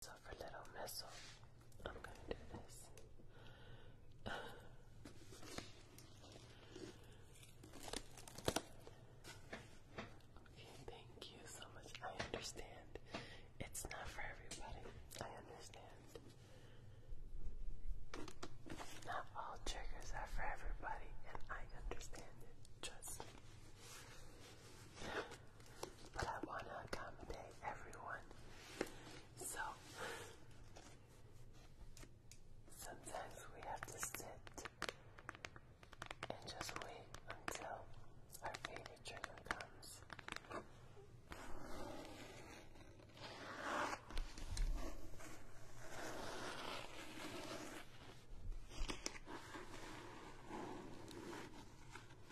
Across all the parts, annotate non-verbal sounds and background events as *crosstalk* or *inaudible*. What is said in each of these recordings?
So for Little Missile, I'm going to do this. okay, thank you so much. I understand. It's not for everybody. I understand. Not all triggers are for everybody, and I understand it. Trust me but I want to accommodate everyone. So sometimes we have to sit and just wait until our favorite trigger comes.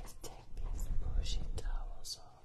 Let's take these bushy towels off.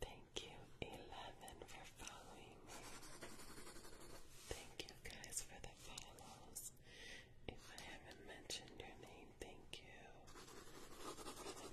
Thank you, Eleven, for following me. Thank you guys for the follows. If I haven't mentioned your name, thank you follows.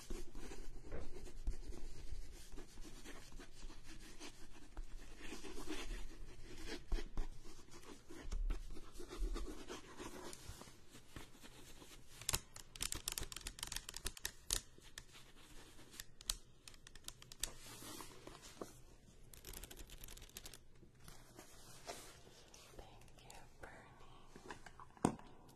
Thank you, Bernie.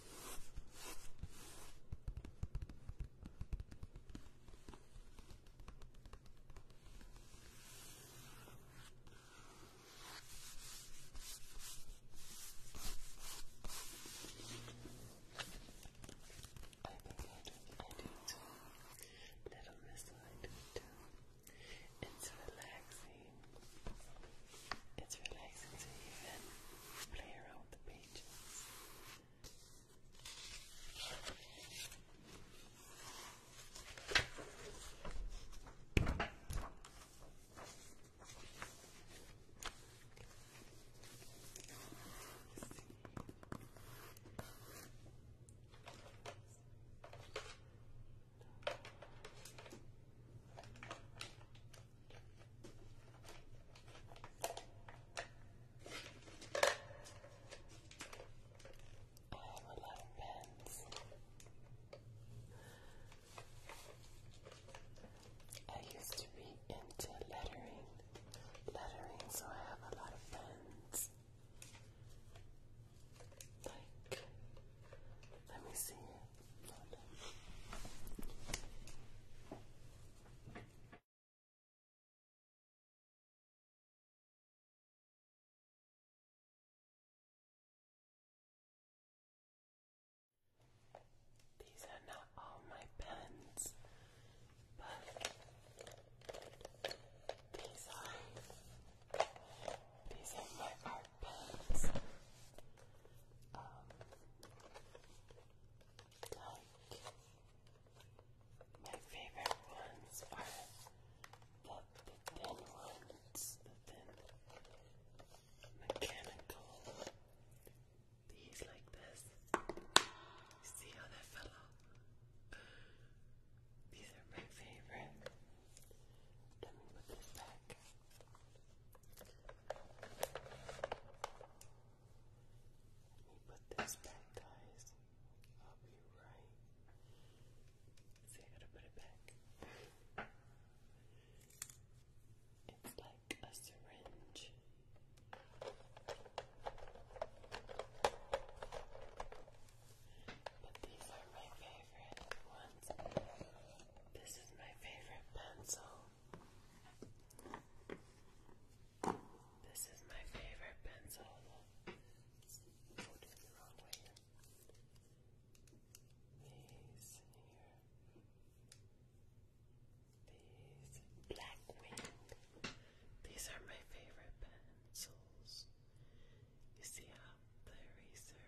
I do too. Little Miss, I do too. It's relaxing. It's relaxing to even play around the pages. I have pens. I used to be into lettering, lettering, so I have a lot of pens. Like, let me see. These are not all my pens, but these are these are my art pens. Um, like, my favorite ones are the, thin ones, the thin mechanical. These like this. See how that fell off? These are my favorite. Let me put this back. Let me put this back, guys. I'll be right. See, I gotta put it back. It's like a syringe. But these are my favorite ones. This is my favorite pencil. This is my favorite pencil. These black wing. These are my favorite pencils. You see how the eraser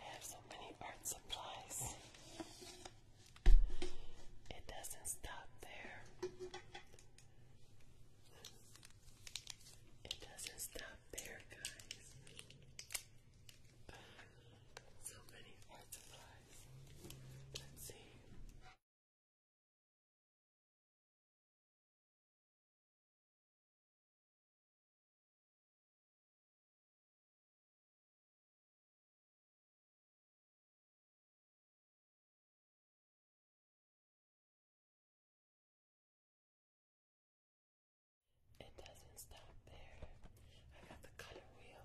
I have so many art supplies. It doesn't stop there. It doesn't stop there, guys. So many art supplies. Let's see. It doesn't stop there. I got the color wheel.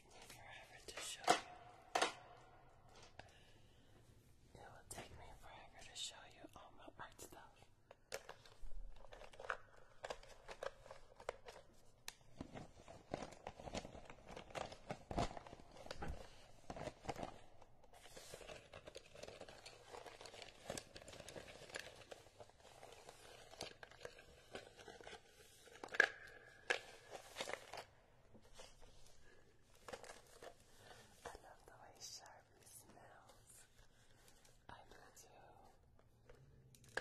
take me forever to show you. It will take me forever to show you all my art stuff. I love the way Sharpie smells. I do too.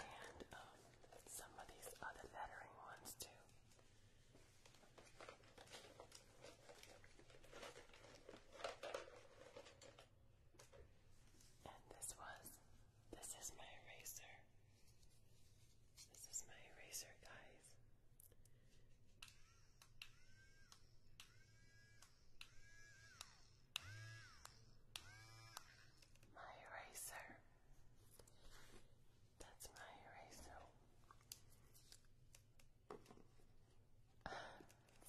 And um, some of these other lettering ones too. And this was, this is my eraser. This is my eraser, guys. My eraser. That's my eraser.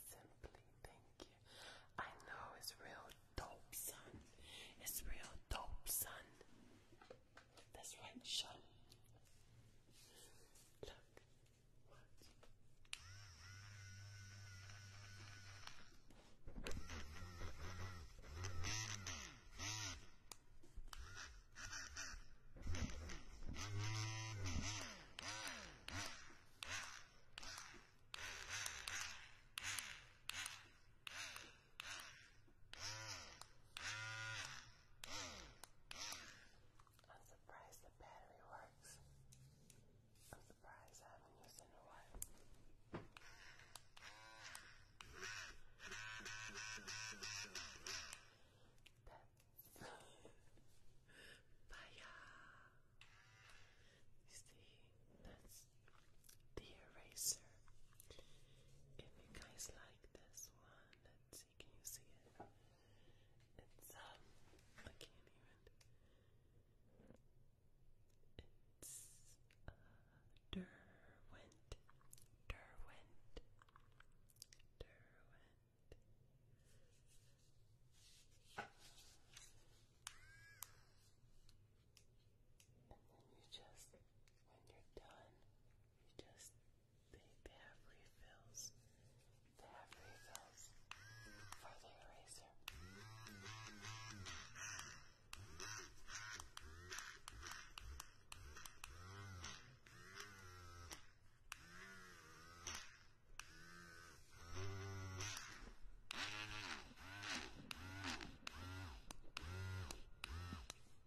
Simply thank you. I know it's real dope, son. It's real dope, son. That's right, Sean. Look. What? I'm surprised the battery works. I'm surprised I haven't a while. That's *laughs* Baya. You see, that's the eraser. If you guys like this Let's see, can you see it? It's um I can't even it's uh Derwent. Derwent. Derwent. And then you just, when you're done, you just they, they have refills. They have refills for the eraser.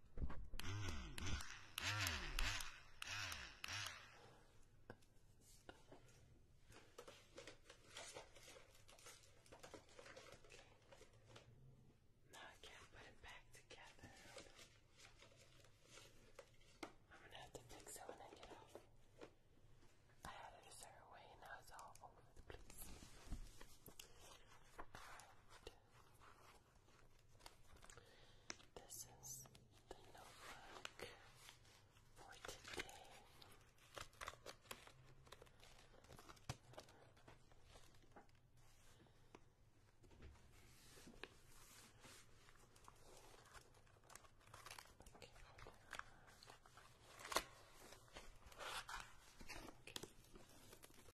Now I can't put it back together. I'm gonna have to fix it when I get off. I had it a certain way and now it's all over the place. Alright. This is the notebook for today. Okay. Okay.